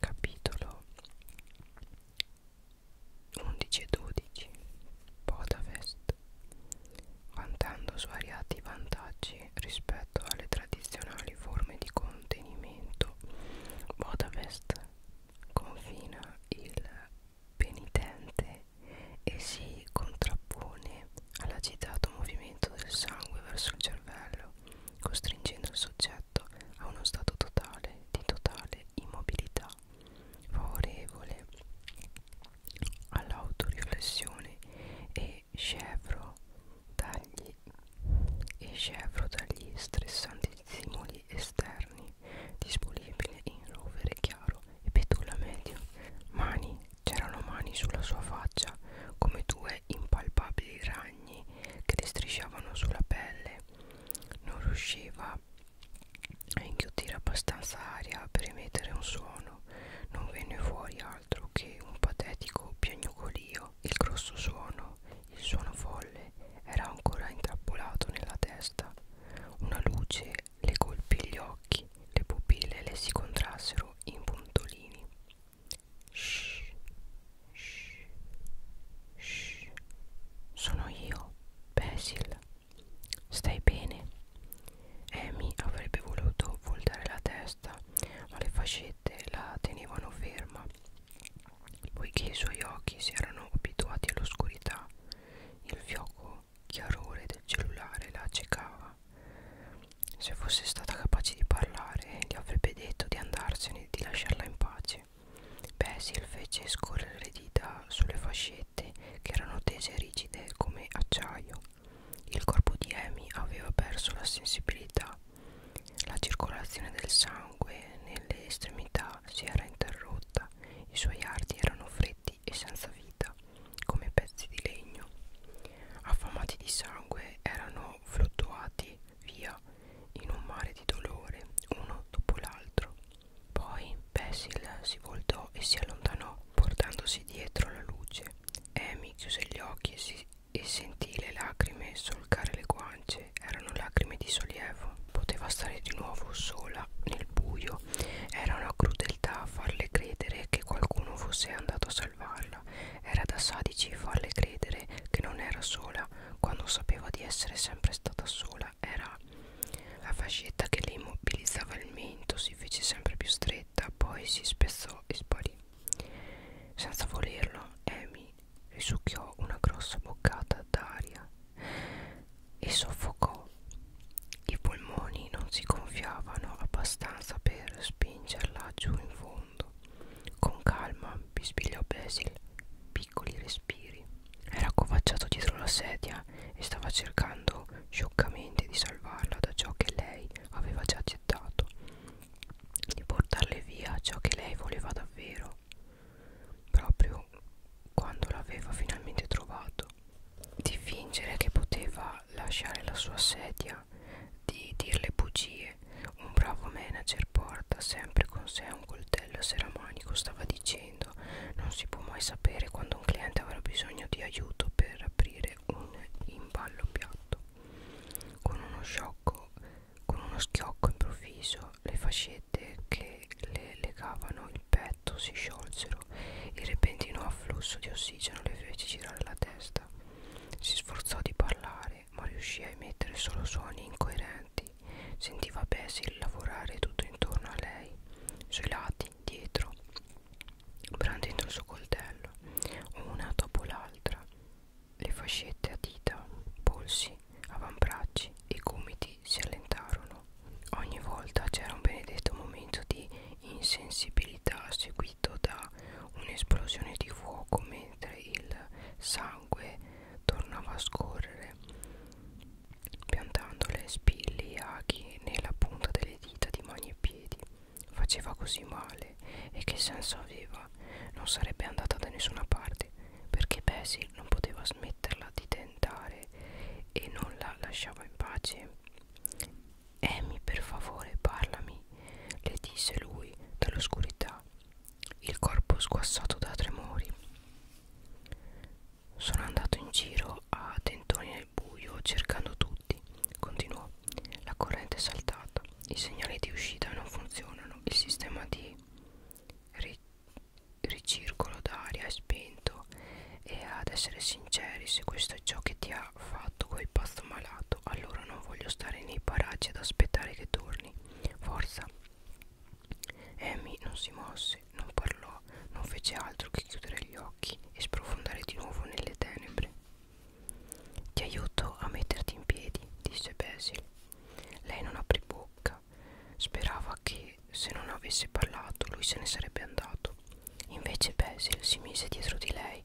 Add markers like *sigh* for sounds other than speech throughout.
capitolo 11 e 12 Podavest vantando svariati vantaggi rispetto alle tradizionali forme di contenimento Podavest confina il penitente e si contrappone all'agitato movimento del sangue verso il cervello costringendo il soggetto a uno stato totale di totale immobilità, favorevole all'autoriflessione e scevro dagli, dagli stressanti stimoli esterni, disponibile in rovere chiaro e petula medio. Mani, c'erano mani sulla sua faccia come due due impalpabili ragni che le strisciavano sulla pelle non riusciva a inghiottire abbastanza aria per emettere un suono non venne fuori altro che un patetico piagnucolio il grosso suono il suono folle era ancora intrappolato nella testa una luce le colpì gli occhi le pupille le si contrassero in puntolini Shh, shh, shh. Sono io, Basil. Stai bene? Amy avrebbe voluto voltare la testa, ma le fascette la tenevano ferma. Poiché i suoi occhi si erano abituati all'oscurità, il fioco chiarore del cellulare la accecava. Se fosse stata capace di parlare, gli avrebbe detto di andarsene e di lasciarla in pace. Basil fece scorrere le dita sulle fascette che erano tese e rigide come acciaio. Il corpo di Amy aveva perso la sensibilità. La circolazione del sangue nelle estremità si era interrotta. I suoi arti erano freddi e senza vita, come pezzi di legno. Affamati di sangue, erano sono fluttuati via in un mare di dolore uno dopo l'altro. Poi Basil si voltò e si allontanò, portandosi dietro la luce. Amy chiuse gli occhi e, si, e sentì le lacrime solcare le guance. Erano lacrime di sollievo. Poteva stare di nuovo sola nel buio. Era una crudeltà farle credere che qualcuno fosse andato a salvarla parla era da sadici farle credere che non era sola quando sapeva di essere sempre stata sola era la fascetta che le immobilizzava il mento si fece sempre più stretta poi si spezzò e sparì senza volerlo Amy risucchiò una grossa boccata d'aria e soffocò i polmoni non si gonfiavano abbastanza per spingerla giù in fondo profondo. Con calma, bispigliò Basil, piccoli respiri. Era accovacciato dietro la sedia e stava cercando scioccamente di salvarla da ciò che lei aveva già gettato, di portarle via ciò che lei voleva davvero, proprio quando l'aveva finalmente trovato, di fingere che poteva lasciare la sua sedia di dirle bugie un bravo manager porta sempre con sé un coltello seramanico stava dicendo non si può mai sapere quando un cliente avrà bisogno di aiuto per aprire un imballo piatto con uno sciocco con uno schiocco improvviso le fascette che le legavano il petto si sciolsero il repentino afflusso di ossigeno le fece girare la testa si sforzò di parlare, ma riuscì a emettere solo suoni incoerenti. Sentiva Basil lavorare tutto intorno a lei, sui lati, dietro, brandendo il suo coltello, una dopo l'altra. Le fascette a dita, polsi, avambracci e gomiti si allentarono. Ogni volta c'era un benedetto momento di insensibilità seguito seguito da un'esplosione di fuoco mentre il sangue tornava a scorrere piantando le spilliachi nella punta delle dita di mani e piedi faceva così male e che senso aveva non sarebbe andata da nessuna parte perché Basil non poteva smetterla di tentare e non la lasciava in pace Amy, per favore, parlami, le disse lui dall'oscurità, il corpo sguassato da tremori. Sono andato in giro a tentoni nel buio cercando tutti, continuò. La corrente è saltata, i segnali di uscita non funzionano, il sistema di ri ricircolo d'aria è spento e ad essere sinceri, se questo è ciò che ti ha fatto quel pazzo malato, fatto allora non voglio stare nei paraggi ad aspettare che torni forza Amy non si mosse non parlò non fece altro che chiudere gli occhi e sprofondare di nuovo nelle tenebre ti aiuto a metterti in piedi disse Basil lei non aprì bocca sperava che se non avesse parlato lui se ne sarebbe andato Invece Basil si mise dietro di lei,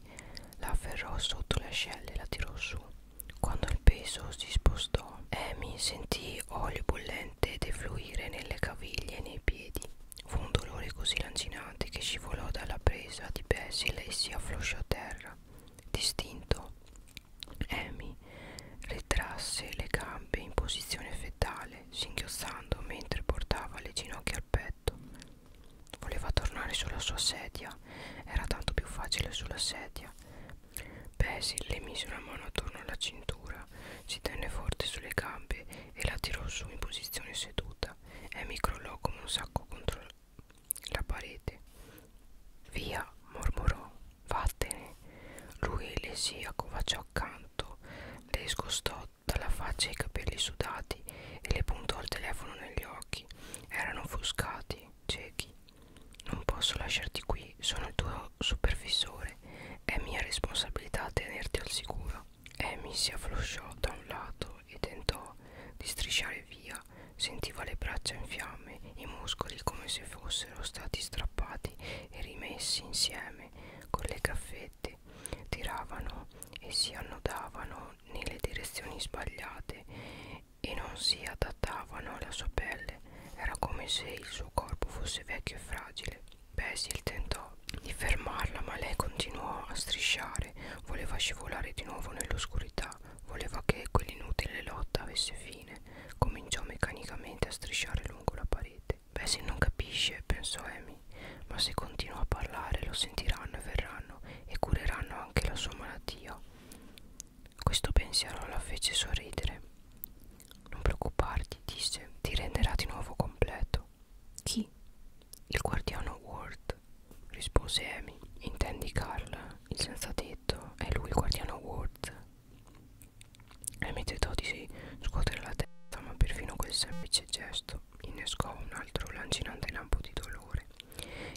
la afferrò sotto le ascelle e la tirò su. Quando il peso si spostò, Amy sentì olio bollente defluire nelle caviglie e nei piedi. Fu un dolore così lancinante che scivolò dalla presa di Basil e si afflosciò a terra. Distinto, Amy retrasse le gambe in posizione fetale, singhiozzando mentre portava le ginocchia al petto letto. Voleva tornare sulla sua sedia, era tanto più facile sulla sedia. Basil le mise una mano attorno alla cintura, si tenne forte sulle gambe e la tirò su in posizione seduta. Amy crollò come un sacco contro la parete. Via, mormorò, vattene. Lui le si accovacciò accanto, le scostò dalla faccia i capelli sudati e le puntò il telefono negli occhi. Erano offuscati, ciechi. Non posso lasciarti qui, sono il tuo supervisore. È mia responsabilità tenerti al sicuro. Amy si afflosciò da un lato e tentò di strisciare via. Sentiva le braccia in fiamme, i muscoli come se fossero stati strappati e rimessi insieme con le caffette. Tiravano e si annodavano nelle direzioni sbagliate e non si adattavano alla sua pelle. Era come se il suo corpo fosse vecchio e fragile. Basil tentò di fermarla, ma lei continuò a strisciare. Voleva scivolare di nuovo nell'oscurità. Voleva che quell'inutile lotta avesse fine. Cominciò meccanicamente a strisciare lungo la parete. Basil non capisce, pensò Amy ma se continua a parlare lo sentiranno e verranno e cureranno anche la sua malattia. Questo pensiero la fece sorridere. Non preoccuparti, disse, ti renderà di nuovo completo. Chi? Il guardiano Ward, rispose Amy. Intendi Carl, il senza tetto, è lui il guardiano Ward. Amy tentò di scuotere la testa, ma perfino quel semplice gesto innescò un altro lancinante lampo di dolore.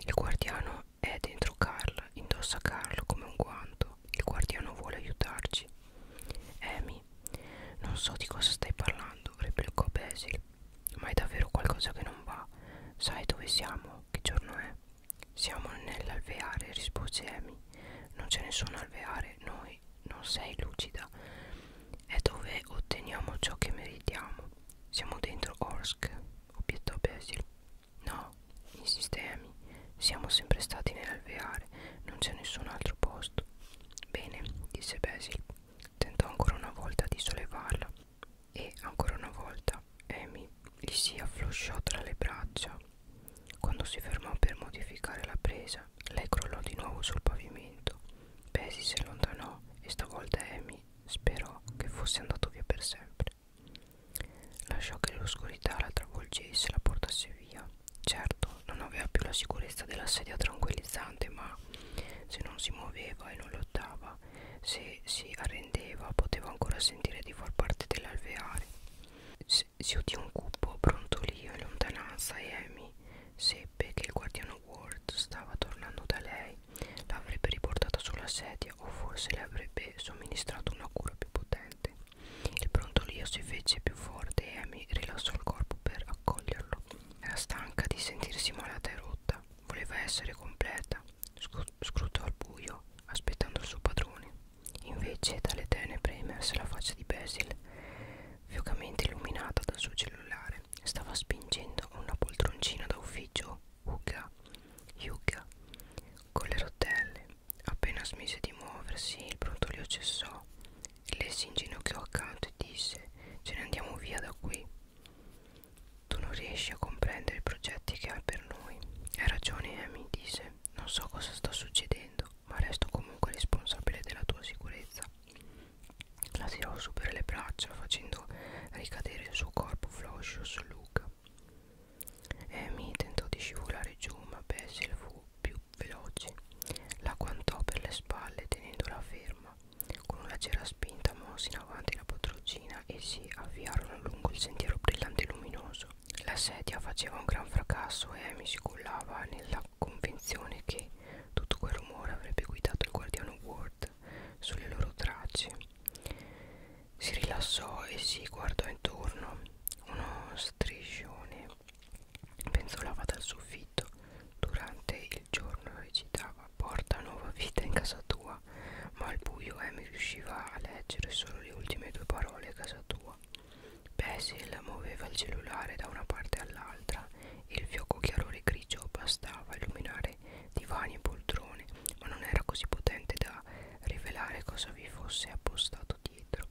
Il guardiano è dentro Carl, indossa Carl come un guanto. Il guardiano vuole aiutarci. Amy, non so di cosa stai parlando, replicò Basil. Ma è davvero qualcosa che non va. Sai dove siamo? Che giorno è? Siamo nell'alveare, rispose Amy. Non c'è nessun alveare, noi. Non sei lucida è dove otteniamo ciò che meritiamo. Siamo dentro Orsk, obiettò Basil. No, insiste Amy, siamo sempre stati nell'alveare, non c'è nessun altro posto. Bene, disse Basil. Tentò ancora una volta di sollevarla e ancora una volta Amy gli si afflosciò tra le braccia. Quando si fermò per modificare la presa, lei crollò di nuovo sul pavimento. Pesi si allontanò e stavolta Amy sperò che fosse andato via per sempre. Lasciò che l'oscurità la travolgesse e la portasse via. Certo, non aveva più la sicurezza della sedia tranquillizzante, ma se non si muoveva e non lottava, se si arrendeva, poteva ancora sentire di far parte dell'alveare. Si, si udì un cupo brontolio in lontananza e Amy seppe che il guardiano Wall Howard stava tornando da lei, l'avrebbe riportata sulla sedia o forse le avrebbe somministrato una cura più potente. Il brontolio si fece più forte e Amy rilassò il corpo per accoglierlo. Era stanca di sentirsi malata e rotta, voleva essere completa. Scrutò al buio, aspettando il suo padrone. Invece, dalle tenebre emerse la faccia di Basil, fiocamente illuminata dal suo cellulare stava spingendo una poltroncina da ufficio Uga, Yuga, con le rotelle. Appena smise di muoversi, il brontolio cessò. Lei si inginocchiò accanto e disse: Ce ne andiamo via da qui. Tu non riesci a comprendere i progetti che hai per noi. Hai ragione, Amy, disse. Non so cosa sta succedendo, ma resto comunque responsabile della tua sicurezza la tirò su per le braccia facendo ricadere il suo corpo floscio su Luca. Amy tentò di scivolare giù ma Basil fu più veloce. La guantò per le spalle tenendola ferma. Con una leggera spinta mosse in avanti la potrocina e si avviarono lungo il sentiero brillante e luminoso. La sedia faceva un gran fracasso e Amy si cullava nella convinzione che tutto quel rumore avrebbe guidato il guardiano Ward sulle loro tracce. Si rilassò e si guardò intorno. Uno striscione penzolava dal soffitto. Durante il giorno recitava Porta nuova vita in casa tua, ma al buio Amy riusciva a leggere solo le ultime due parole casa tua. Basil muoveva il cellulare da una parte all'altra il fioco chiarore grigio bastava a illuminare divani e poltrone, ma non era così potente da rivelare cosa vi fosse appostato dietro.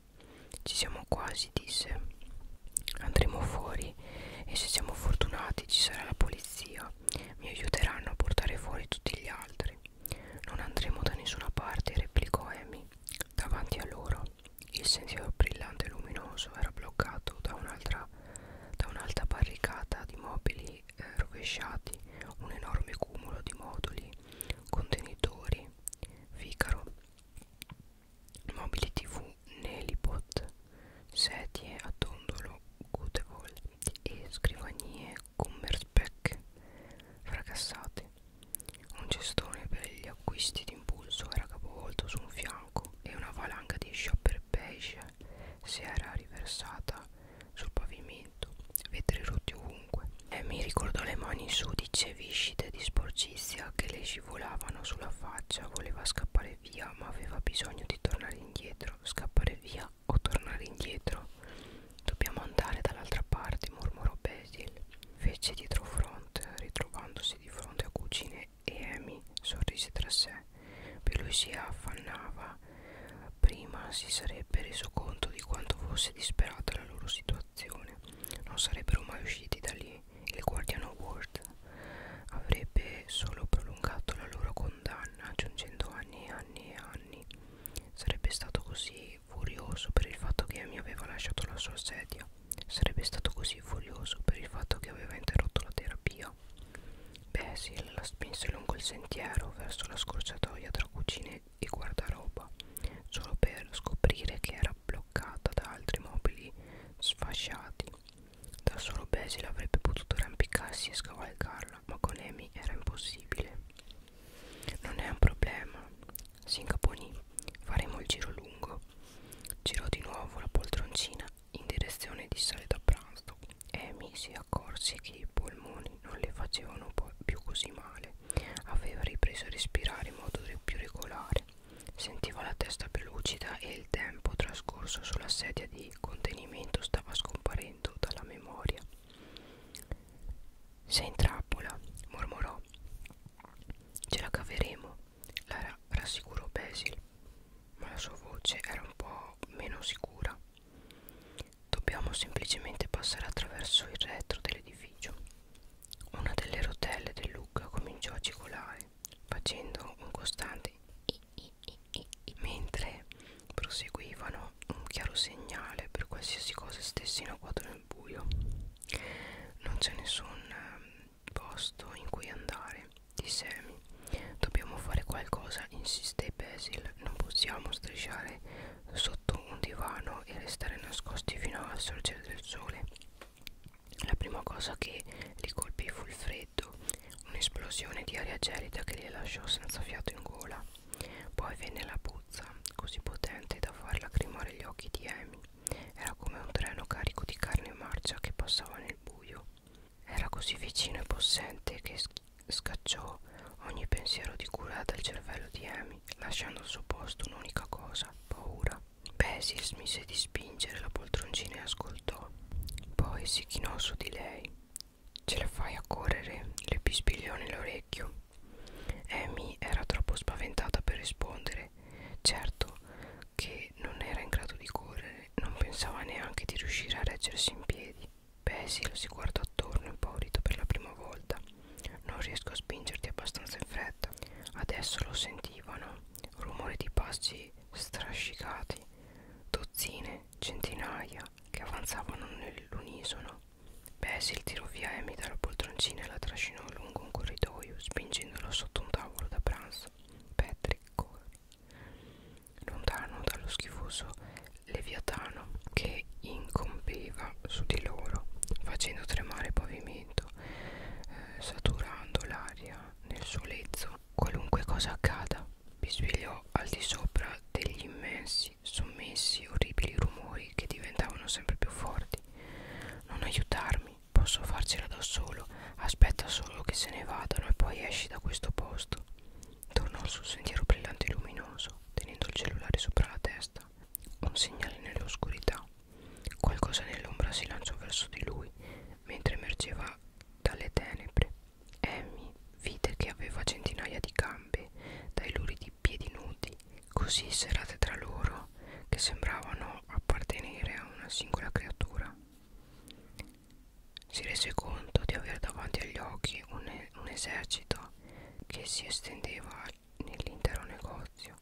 Ci siamo quasi, disse. Andremo fuori e se siamo fortunati ci sarà la polizia. Mi aiuteranno a portare fuori tutti gli altri. Non andremo da nessuna parte, replicò Amy. Davanti a loro il sentiero brillante e luminoso era bloccato da un'altra da un'alta barricata di mobili eh, rovesciati, un enorme cumulo di moduli, contenitori, ficaro, mobili tv, nelipot, sedie a tondolo, gutevol e scrivanie commerspec fracassate, un cestone per gli acquisti di impulso era capovolto su un fianco e una valanga di shopper beige si era riversata sul pavimento, vetri rotti ovunque. E mi ricordò le mani sudice, viscide di sporcizia che le scivolavano sulla faccia. Voleva scappare via, ma aveva bisogno di tornare indietro. Scappare via o tornare indietro? Dobbiamo andare dall'altra parte, mormorò Basil. Fece dietro fronte, ritrovandosi di fronte a cucine e Amy sorrise tra sé per lui si affannava prima si sarebbe reso conto di quanto fosse disperata la loro situazione non sarebbero mai usciti da lì il guardiano Ward avrebbe solo prolungato la loro condanna aggiungendo anni e anni e anni sarebbe stato così furioso per il fatto che Amy aveva lasciato la sua sedia Sarebbe stato così furioso per il fatto che aveva interrotto la terapia. Basil la spinse lungo il sentiero verso la scorciatoia tra cucine e guardaroba, solo per scoprire che era bloccata da altri mobili sfasciati. Da solo Basil avrebbe potuto arrampicarsi e scavalcarla, ma con Amy era impossibile. Non è un problema, si incaponì faremo il giro lungo girò di nuovo la poltroncina in direzione di sale da pranzo Amy si accorse che i polmoni non le facevano più così male aveva ripreso a respirare in modo più regolare sentiva la testa più lucida e il tempo trascorso sulla sedia di contenimento stava scomparendo dalla memoria sei in trappola mormorò ce la caveremo la rassicurò Basil, ma la sua voce era un po' meno sicura. Dobbiamo semplicemente passare attraverso il retro dell'edificio. Una delle rotelle del Lucca cominciò a cigolare, facendo un costante i, i, i, i, mentre proseguivano un chiaro segnale per qualsiasi cosa stesse in agguato nel buio. Non c'è nessun ehm, posto in cui andare, disse Amy. Dobbiamo fare qualcosa, insiste Basil. Non possiamo strisciare sotto un divano e restare nascosti fino al sorgere del sole. La prima cosa che li colpì fu il freddo, un'esplosione di aria gelida che li lasciò senza fiato in gola. Poi venne la puzza, così potente da far lacrimare gli occhi di Amy. Era come un treno carico di carne marcia che passava nel buio. Era così vicino e possente che scacciò ogni pensiero di cura dal cervello di Amy, lasciando al suo posto un'unica cosa, paura. Basil smise di spingere la poltroncina e ascoltò. Poi si chinò su di lei. Ce la fai a correre? le pispigliò nell'orecchio. Amy era troppo spaventata per rispondere correre. Certo che non era in grado di correre, non pensava neanche di riuscire a reggersi in piedi. Basil si guardò attorno impaurito per la prima volta. Non riesco a spingerti abbastanza in fretta. Adesso lo sentivano. Rumore di passi strascicati, dozzine, centinaia che avanzavano nell'unisono. Basil tirò via Amy dalla poltroncina e la trascinò lungo un corridoio, spingendo spingendolo sotto un tavolo da pranzo. Patrick corre lontano dallo schifoso leviatano che incombeva su di loro, facendo tremare il pavimento, eh, saturando l'aria nel suo lezzo. Qualunque cosa accada, bisbigliò al di sopra degli immensi, sommessi, orribili rumori che diventavano sempre più forti. Non aiutarmi, Posso farcela da solo Aspetta solo che se ne vadano e poi esci da questo posto Tornò sul sentiero brillante e luminoso Tenendo il cellulare sopra la testa Un segnale nell'oscurità Qualcosa nell'ombra si lanciò verso di lui Mentre emergeva dalle tenebre Amy vide che aveva centinaia di gambe dai luridi piedi nudi Così serrate tra loro città che sembravano appartenere a una singola creatura. Si rese conto di aver davanti agli occhi un, e un esercito che si estendeva nell'intero negozio.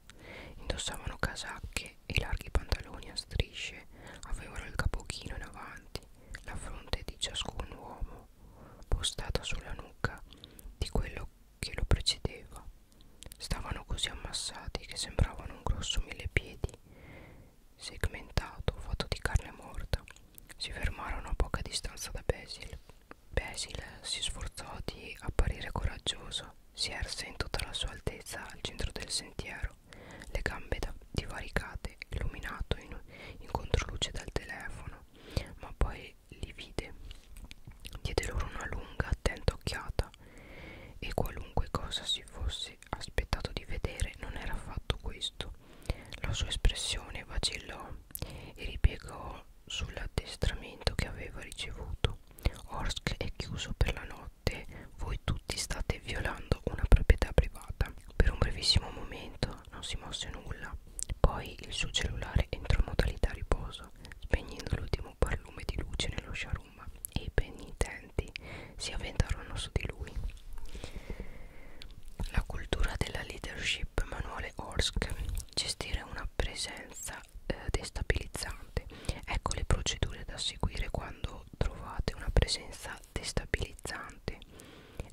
Indossavano casacche e larghi pantaloni a strisce, avevano il capochino in avanti, la fronte di ciascun uomo postata sulla nuca di quello che lo precedeva Stavano così ammassati che sembravano un grosso millepiedi segmentato, fatto di carne morta. Si fermarono a poca distanza da Basil. Basil si sforzò di apparire coraggioso. Si erse in tutta la sua altezza al centro del sentiero, le gambe divaricate, illuminato in, in controluce dal telefono, ma poi li vide. Diede loro una lunga, attenta occhiata vita e qualunque cosa si fosse aspettato di vedere non era affatto questo. La sua espressione vacillò e ripiegò sull'addestramento che aveva ricevuto. Orsk è chiuso per la notte, voi tutti state violando una proprietà privata. Per un brevissimo momento non si mosse nulla, poi il suo cellulare entrò in modalità riposo, spegnendo l'ultimo un barlume di luce nello sciarum e i penitenti si avventarono su di lui. La cultura della leadership Manuale Orsk gestire una presenza eh, destabilizzante. Ecco le procedure da seguire quando trovate una presenza destabilizzante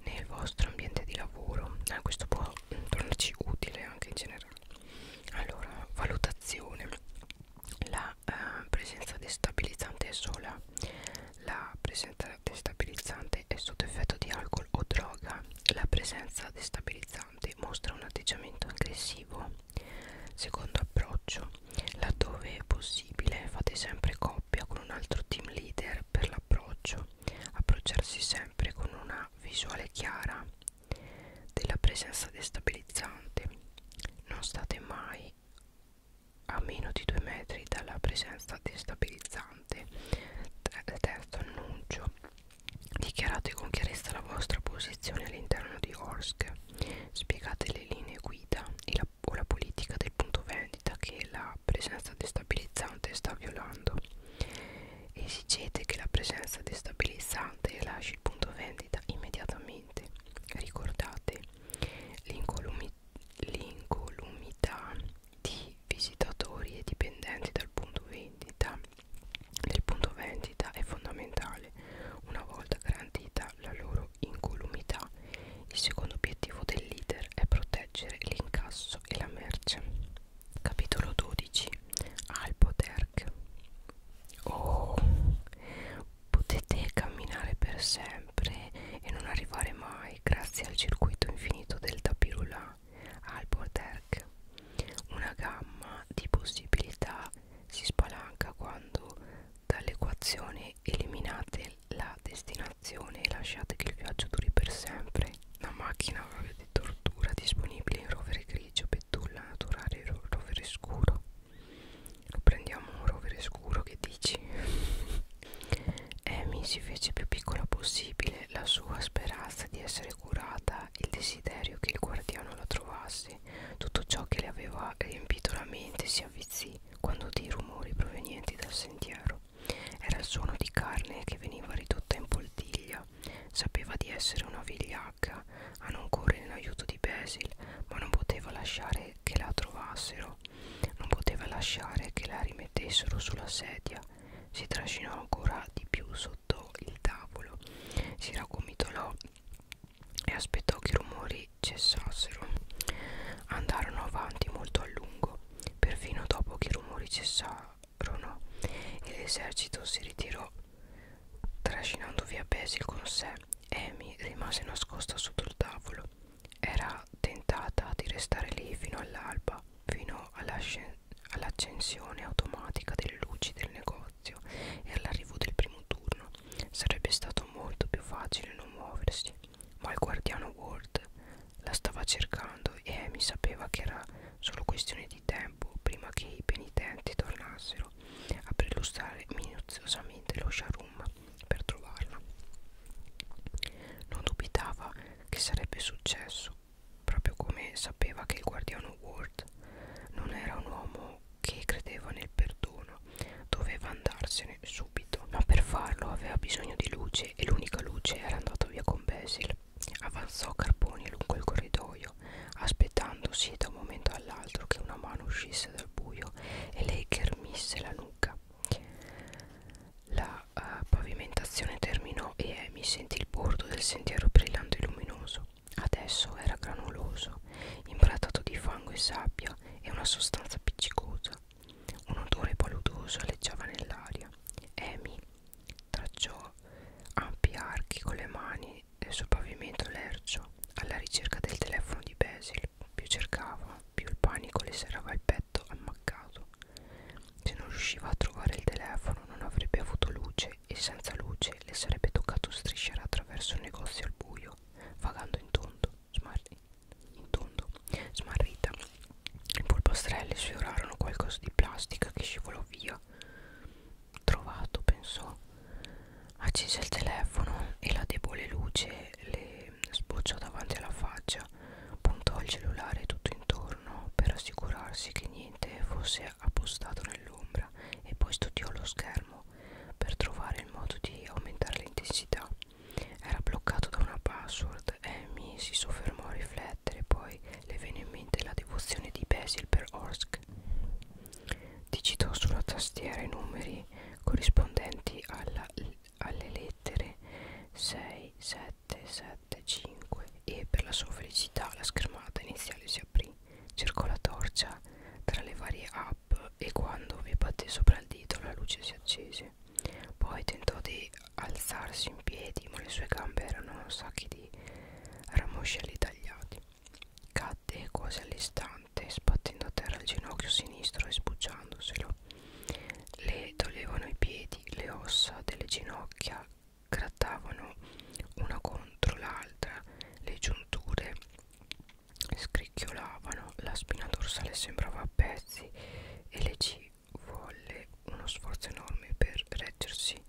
nel vostro ambiente di lavoro. Eh, questo può tornarci utile anche in generale allora valutazione la eh, presenza destabilizzante è sola la presenza destabilizzante è sotto effetto di alcol o droga la presenza destabilizzante mostra un atteggiamento aggressivo secondo approccio laddove è possibile fate sempre coppia con un altro team leader per l'approccio approcciarsi sempre con una visuale chiara della presenza destabilizzante non state mai a meno di 2 metri dalla presenza destabilizzante terzo annuncio dichiarate con chiarezza la vostra posizione all'interno di Orsk spiegate le linee guida e la, o la politica del punto vendita che la presenza destabilizzante sta violando Esigete che la presenza destabilizzante lasci il punto vendita immediatamente. Ricordate l'incolumità di visitatori e dipendenti dal punto vendita. Il punto vendita è fondamentale. Una volta garantita la loro incolumità, il secondo obiettivo del leader è proteggere l'incasso e la merce. Capitolo 12 Alpoterk Oh, potete camminare per sempre e non arrivare mai grazie al circuito infinito del Tapirula Alpoterk Una gamma di possibilità si spalanca quando dall'equazione eliminate la destinazione e lasciate che il viaggio duri per sempre. Una macchina di tortura disponibile in rovere grigio grigio, betulla naturale, rovere scuro. Prendiamo un rovere scuro, che dici? *laughs* Amy si fece più piccola possibile la sua speranza di essere curata, il desiderio che il guardiano la trovasse. Tutto ciò che le aveva riempito la mente si avvizzì quando dei rumori provenienti dal sentiero. Era il suono di carne che veniva ridotta in poltiglia Sapeva di essere una vigliacca a non correre in aiuto di Basil, ma non poteva lasciare che la trovassero. Non poteva lasciare che la rimettessero sulla sedia. Si trascinò ancora di più sotto il tavolo. Si raccomitolò e aspettò che i rumori cessassero. Andarono avanti molto a lungo, perfino dopo che i rumori cessarono e l'esercito si ritirò trascinando via Basil con sé. Amy rimase nascosta sotto il tavolo. Era tentata di restare lì fino all'alba, fino all'accensione all automatica delle luci del negozio e all'arrivo del primo turno. Sarebbe stato molto più facile non muoversi, ma il guardiano Ward la stava cercando e Amy sapeva che era solo questione di tempo tempo prima che i penitenti tornassero a prelustrare minuziosamente lo sharum per trovarla. Non dubitava che sarebbe successo, proprio come sapeva che il guardiano Ward non era un uomo che credeva nel perdono, doveva andarsene subito, ma per farlo aveva bisogno di luce e l'unica luce era andata via con Basil. Avanzò Carboni lungo il corridoio, aspettandosi da un momento all'altro che una mano uscisse dal buio e lei ghermisse la nuca. La uh, pavimentazione terminò e Amy sentì il bordo del sentiero brillante e luminoso. Adesso era granuloso, imbrattato di fango e sabbia e una sostanza appiccicosa. Un odore paludoso aleggiava nell'aria. Amy Tracciò ampi archi con le mani sul pavimento lercio alla ricerca del telefono di Basil. Più cercava, più il panico le serrava il petto ammaccato. Se non riusciva a trovare il telefono non avrebbe avuto luce e senza luce le sarebbe toccato strisciare attraverso un negozio al buio, vagando in tondo, smarrita. In tondo, smarrita. I polpastrelli sfiorarono qualcosa di plastica che scivolò via trovato pensò accese il telefono e la debole luce le sbocciò davanti alla faccia puntò il cellulare tutto intorno per assicurarsi che niente fosse appostato nell'ombra e poi studiò lo schermo per trovare il modo di aumentare l'intensità era bloccato da una password Amy si soffermò a riflettere poi le venne in mente la devozione di Basil per Orsk. Digitò sulla tastiera i numeri corrispondenti alla, alle lettere 6, 7, 7, 5 e per la sua felicità la schermata iniziale si aprì. Cercò la torcia tra le varie app e quando vi batté sopra il dito la luce si accese. Poi tentò di alzarsi in piedi, ma le sue gambe erano sacchi di ramoscelli tagliati. Cadde quasi all'istante, sbattendo a terra il ginocchio sinistro e sbucciandoselo. Le dolevano i piedi, le ossa delle ginocchia grattavano una contro l'altra, le giunture scricchiolavano, la spina dorsale sembrava a pezzi e le ci volle uno sforzo enorme per reggersi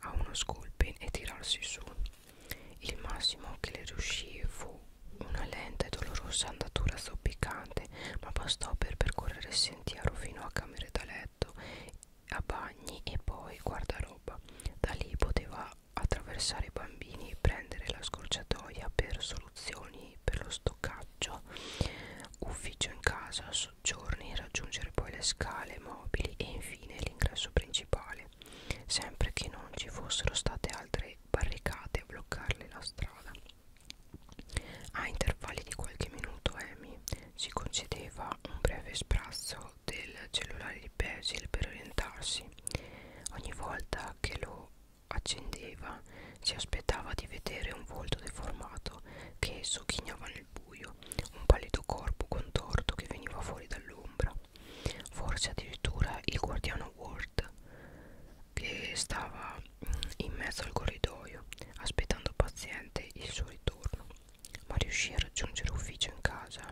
a uno sculpin e tirarsi su. Il massimo che le riuscì fu una lenta e dolorosa andatura zoppicante, ma bastò per percorrere il sentiero fino a camere da letto, a bagni e poi guardaroba. Da lì poteva attraversare i bambini e prendere la scorciatoia per soluzioni per lo stoccaggio, ufficio in casa, soggiorni e raggiungere poi le scale mobili e infine l'ingresso principale, sempre che non ci fossero state altre barricate a bloccarle la strada. A intervalli di qualche minuto Amy si concedeva un breve sprazzo del cellulare di Basil per orientarsi. Ogni volta che lo accendeva si aspettava di vedere un volto deformato che sogghignava nel buio un pallido corpo contorto che veniva fuori dall'ombra. Forse addirittura il guardiano Ward che stava mm, in mezzo al corridoio aspettando paziente il suo ritorno, ma riuscì a raggiungere ufficio in casa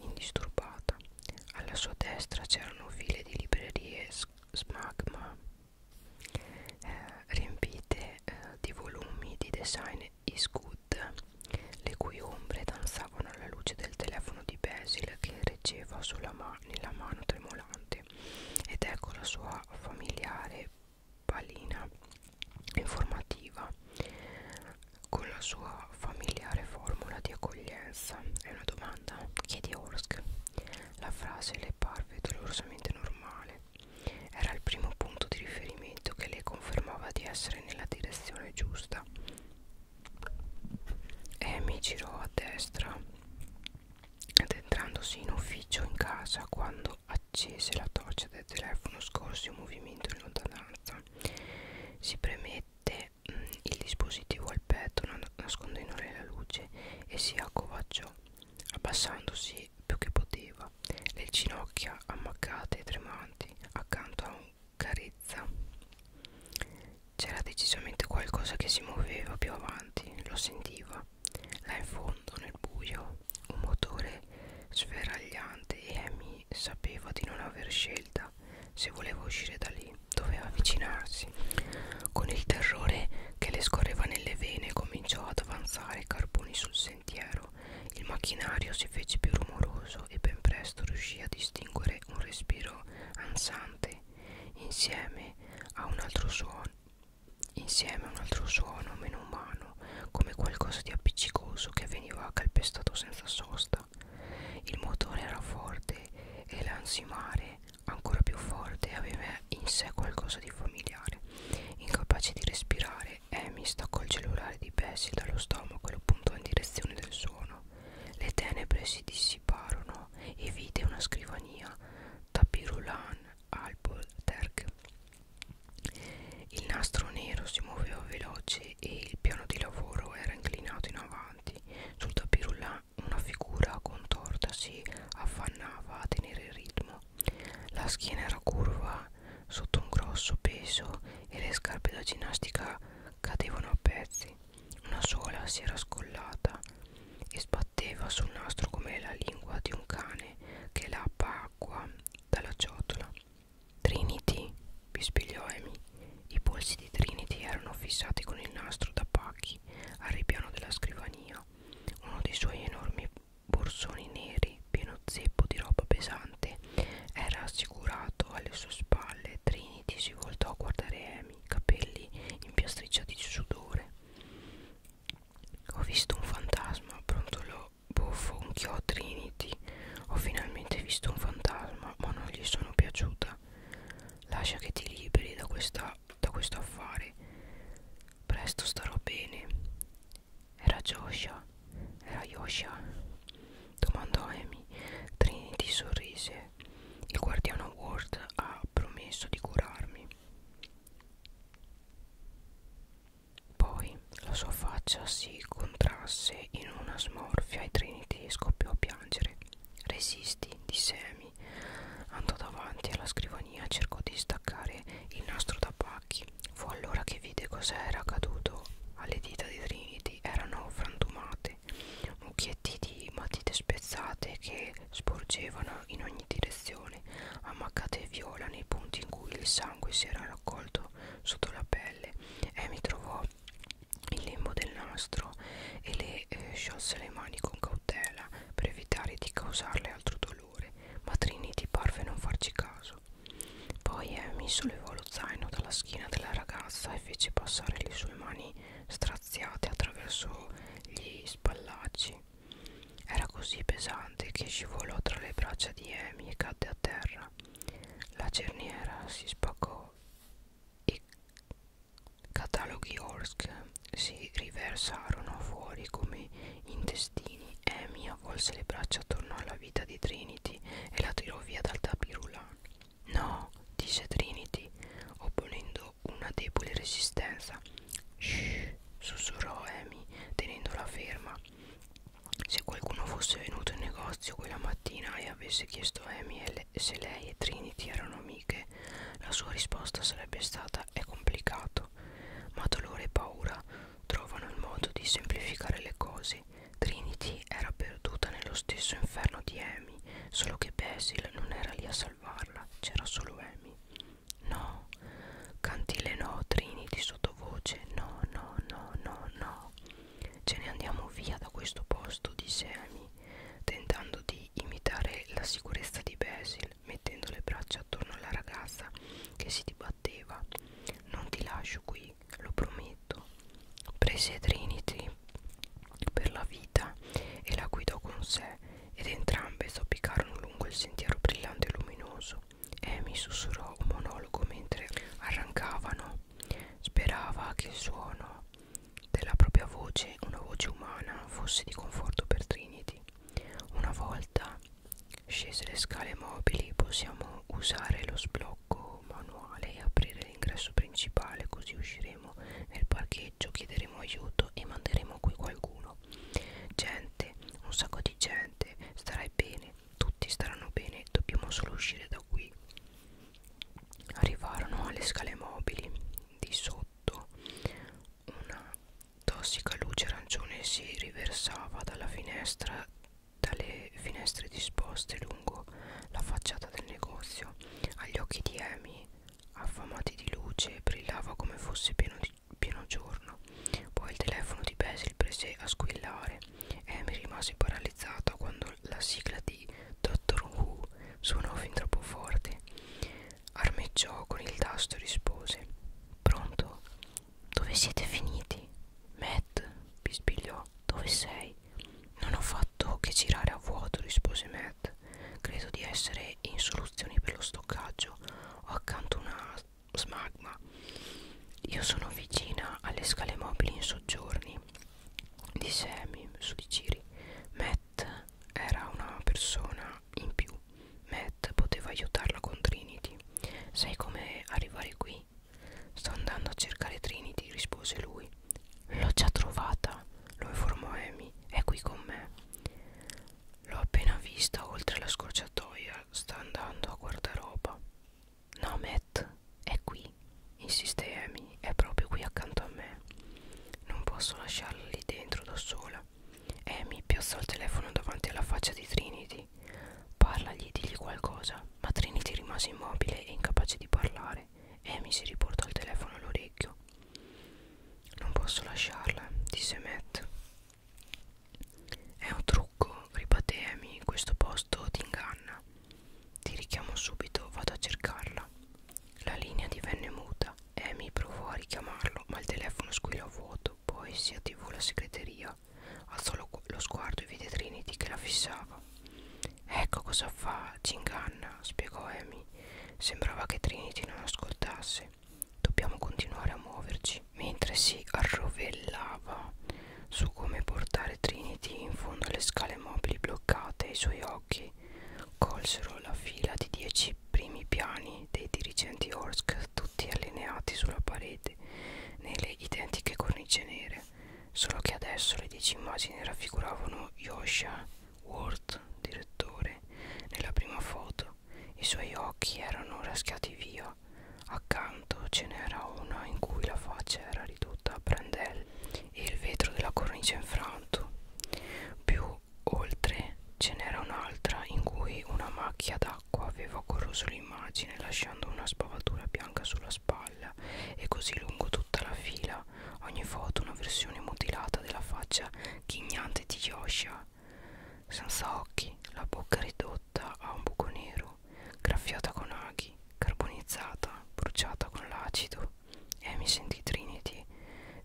indisturbata. Alla sua destra c'erano file di librerie smagma eh, riempite eh, di volumi di design Isgood, le cui ombre danzavano alla luce del telefono di Basil che reggeva ma nella mano tremolante. Ed ecco la sua familiare palina informativa con la sua familiare formula di accoglienza. È una domanda? Chiedi a Orsk. La frase le parve dolorosamente normale, era il primo punto di riferimento che le confermava di essere nella direzione giusta. Amy girò a destra, addentrandosi in ufficio in casa quando accese la torcia del telefono scorse un movimento in lontananza. Si premette mh, mm, il dispositivo al petto nascondendole la luce e si accovacciò, abbassandosi e più che poteva, le ginocchia ammaccate e tremanti accanto a un carezza. C'era decisamente qualcosa che si muoveva più avanti, lo sentiva. Là in fondo, nel buio, un motore sferragliante e Amy sapeva di non aver scelta. Se voleva uscire da lì, doveva avvicinarsi. Con il terrore che le scorreva nelle vene, cominciò ad avanzare i carboni sul sentiero chiaro il macchinario si fece più rumoroso e ben presto riuscì a distinguere un respiro ansante insieme a un altro suono insieme a un altro suono meno umano come qualcosa di appiccicoso che veniva calpestato senza sosta il motore era forte e l'ansimare ancora più forte aveva in sé qualcosa di familiare incapace di respirare Amy eh, staccò il cellulare di Bessie dallo stomaco e lo puntò in direzione del suono. Le tenebre si dissiparono e vide una scrivania tapirulan albolterg. Il nastro nero si muoveva veloce e il piano di lavoro era inclinato in avanti. Sul tapirulan una figura contorta si affannava a tenere il ritmo la schiena era curva sotto un grosso peso e le scarpe da ginnastica cadevano a pezzi. Una sola si era scollata e sbatteva sul nastro come la lingua di un cane che lappa acqua dalla ciotola. Trinity, bispigliò Amy. I polsi di Trinity erano fissati con il nastro da pacchi al ripiano della scrivania. Uno dei suoi enormi borsoni neri pieno zeppo di roba pesante era assicurato alle sue spalle Trinity si voltò a guardare Amy capelli impiastricciati di sudore ho visto un fantasma brontolò bofonchiò Trinity ho finalmente visto un fantasma ma non gli sono piaciuta lascia che ti liberi da, questa, da questo affare presto starò bene era Joshua, era Yosha, domandò Amy. Trinity sorrise. Il guardiano Ward ha promesso di curarmi. Poi la sua faccia si contrasse in una smorfia e Trinity scoppiò a piangere. Resisti, disse Amy. Andò davanti alla scrivania, cercò di staccare il nastro da parte tabacchi. Fu allora che vide cosa era accaduto alle dita di Trinity, erano frantumate, mucchietti di matite spezzate che sporgevano in ogni direzione, ammaccate viola nei punti in cui il sangue si era raccolto sotto la pelle. Amy trovò il lembo del nastro e le eh, sciolse le mani con cautela per evitare di causarle altro dolore dolore, ma Trinity parve non farci caso. Poi Amy sollevò lo zaino dalla schiena della ragazza e fece passare le sue mani straziate attraverso gli spallacci. Era così pesante che scivolò tra le braccia di Amy e cadde a terra. La cerniera si spaccò e cataloghi Orsk si riversarono fuori come intestini. Amy avvolse le braccia attorno alla vita di Trinity e la tirò via dal tapirulan. No, disse Trinity, opponendo una debole resistenza. Shh, sussurrò Amy, tenendola ferma. Se qualcuno fosse venuto in negozio quella mattina e avesse chiesto a Amy se lei e Trinity erano amiche, la sua risposta sarebbe stata è complicato fatto, ma dolore e paura trovano il modo di semplificare le cose. Trinity era perduta nello stesso inferno di Amy, solo che Basil non era lì a salvarla, c'era solo Amy. No, cantile no, Trinity sottovoce, no, no, no, no, no. Ce ne andiamo via da questo posto, disse Amy, tentando di imitare la sicurezza di Basil, mettendo le braccia attorno alla ragazza che si dibatteva. Non ti lascio qui, lo prometto. Prese Trinity per la vita e la guidò con sé ed entrambe zoppicarono lungo il sentiero brillante e luminoso. Amy sussurrò un monologo mentre arrancavano. Sperava che il suono della propria voce, una voce umana, fosse di conforto per Trinity. Una volta scese le scale mobili possiamo usare lo sblocco manuale e aprire l'ingresso principale così usciremo nel parcheggio, chiederemo aiuto e manderemo qui qualcuno. Gente, un sacco di gente, starai bene, tutti staranno bene, dobbiamo solo uscire da qui. Arrivarono alle scale mobili di sotto una tossica luce arancione si riversava dalla finestra dalle finestre disposte lungo la facciata del negozio agli occhi di Amy affamati di luce brillava come fosse pieno, di, pieno giorno poi il telefono di Basil prese a squillare Amy rimase paralizzata quando la sigla di Doctor Who suonò fin troppo forte Armeggiò con il tasto e rispose Pronto? Dove siete finiti? Matt, bisbigliò, dove sei? Non ho fatto che girare a vuoto, rispose Matt. Credo di essere in soluzioni per lo stoccaggio. Ho accanto una smagma. Io sono vicina alle scale mobili in soggiorni, disse Amy su di Ciri. Matt era una persona in più Matt poteva aiutarla con Trinity. Sai come arrivare qui? Sto andando a cercare Trinity, rispose lui. L'ho già trovata, lo informò Amy. È qui con me. L'ho appena vista oltre la scorciatoia. Sta andando a guardaroba. No, Matt, è qui, insiste Amy. È proprio qui accanto a me. Non posso lasciarla lì dentro da sola. E mi piazzò il telefono davanti alla faccia di Trinity. Parlagli, digli qualcosa. Ma Trinity rimase immobile e incapace di parlare. Amy si riportò il telefono all'orecchio. Non posso lasciarla, disse Matt. È un trucco, ribatté Amy. Questo posto ti inganna. Ti richiamo subito, vado a cercarla. La linea divenne muta. Amy eh, provò a richiamarlo, ma il telefono squillò a vuoto. Poi si attivò la segreteria. Alzò lo, lo sguardo e vide Trinity che la fissava. Ecco cosa fa, ci inganna, spiegò Amy. Sembrava che Trinity non ascoltasse. Dobbiamo continuare a muoverci. Mentre si arrovellava su come portare Trinity in fondo alle scale mobili bloccate, i suoi occhi colsero la fila di dieci i primi piani dei dirigenti Orsk tutti allineati sulla parete nelle identiche cornice nere, solo che adesso le dieci immagini raffiguravano Yosha Ward, direttore, nella prima foto. I suoi occhi erano raschiati via, accanto ce n'era una in cui la faccia era ridotta a brandelli e il vetro della cornice infranto, più Oltre ce n'era un'altra in cui una macchia d'acqua aveva corroso l'immagine lasciando una spavatura bianca sulla spalla e così lungo tutta la fila ogni foto una versione mutilata della faccia ghignante di Yosha senza occhi, la bocca ridotta a un buco nero, graffiata con aghi, carbonizzata, bruciata con l'acido. E eh, mi sentì Trinity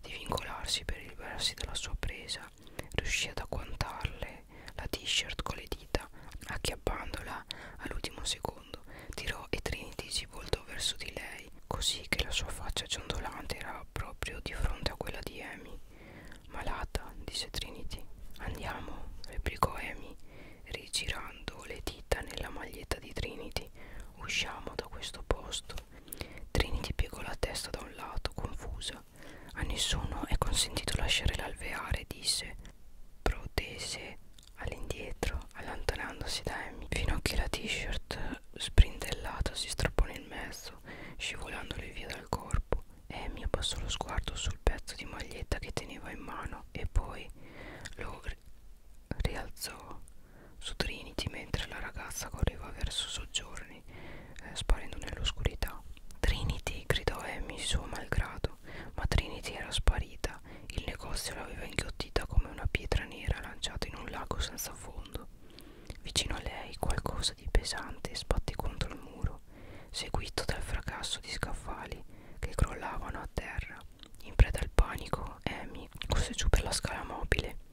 di vincolarsi per liberarsi dalla sua presa riuscì ad agguantarle la t-shirt con le dita acchiappandola all'ultimo secondo tirò e Trinity si voltò verso di lei così che la sua faccia ciondolante era proprio di fronte a quella di Amy malata disse Trinity andiamo replicò Amy rigirando le dita nella maglietta di Trinity usciamo da questo posto Trinity piegò la testa da un lato, confusa. A nessuno è consentito lasciare l'alveare, disse. Protese all'indietro, allontanandosi da Amy, fino a che la t-shirt sprindellata si strappò nel mezzo, scivolandole via dal corpo. Amy abbassò lo sguardo sul pezzo di maglietta che teneva in mano e poi lo rialzò su Trinity mentre la ragazza correva verso soggiorni, eh, sparendo nell'oscurità. Trinity gridò Amy suo malgrado, ma Trinity era sparita. Il negozio l'aveva inghiottita come una pietra nera lanciata in un lago senza fondo. Vicino a lei qualcosa di pesante sbatté contro il muro, seguito dal fracasso di scaffali che crollavano a terra. In preda al panico, Amy corse giù per la scala mobile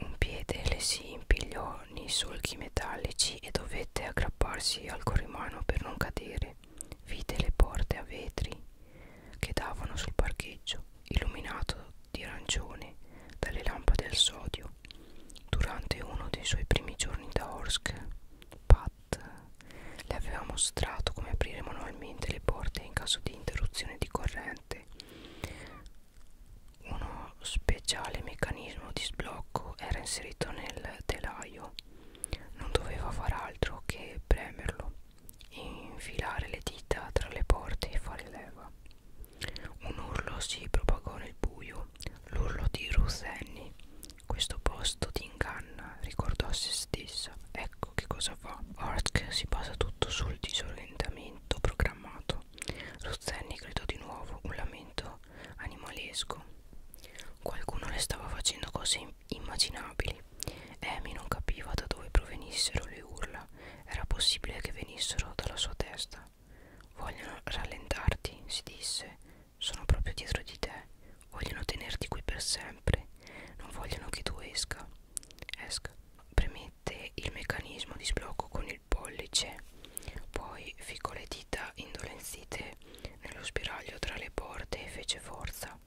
un piede le si impigliò nei solchi metallici e dovette aggrapparsi al corrimano per non cadere. Vide le porte a vetri che davano sul parcheggio, illuminato di arancione dalle lampade al sodio. Durante uno dei suoi primi giorni da Orsk, Pat le aveva mostrato come aprire manualmente le porte in caso di interruzione di corrente uno speciale meccanismo di sblocco era inserito nel telaio non doveva far altro che premerlo infilare le dita tra le porte e fare leva un urlo si propagò nel buio l'urlo di Ruth Annie questo posto ti inganna ricordò a se stessa ecco che cosa fa Ork si basa tutto sul disorientamento programmato Rozzeni gridò di nuovo un lamento animalesco. Qualcuno le stava facendo cose immaginabili. Amy non capiva da dove provenissero le urla. Era possibile che venissero dalla sua testa. Vogliono rallentarti, si disse. Sono proprio dietro di te. Vogliono tenerti qui per sempre. Non vogliono che tu esca. Esca premette il meccanismo di sblocco con il pollice poi ficcò le dita indolenzite nello spiraglio tra le porte e fece forza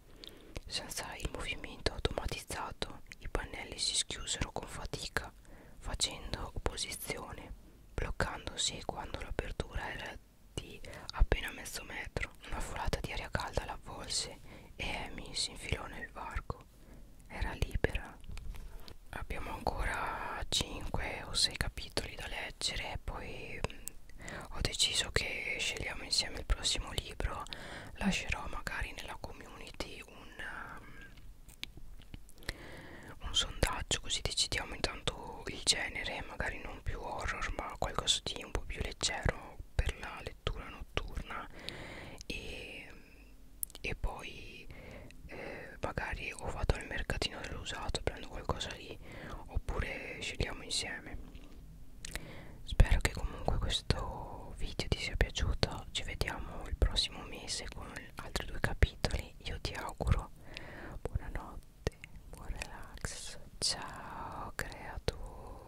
senza il movimento automatizzato i pannelli si schiusero con fatica facendo opposizione bloccandosi quando l'apertura era di appena mezzo metro una folata di aria calda l'avvolse e Amy si infilò nel varco era libera abbiamo ancora 5 o 6 capitoli da leggere poi mm, ho deciso che scegliamo insieme il prossimo libro lascerò magari nella community un, um, un sondaggio così decidiamo intanto il genere magari non più horror ma qualcosa di un po' più leggero per la lettura notturna e e poi eh, magari o vado al mercatino dell'usato prendo qualcosa lì oppure scegliamo insieme spero che comunque questo video ti sia piaciuto ci vediamo il prossimo mese con altri due capitoli io ti auguro buonanotte buon relax ciao creatura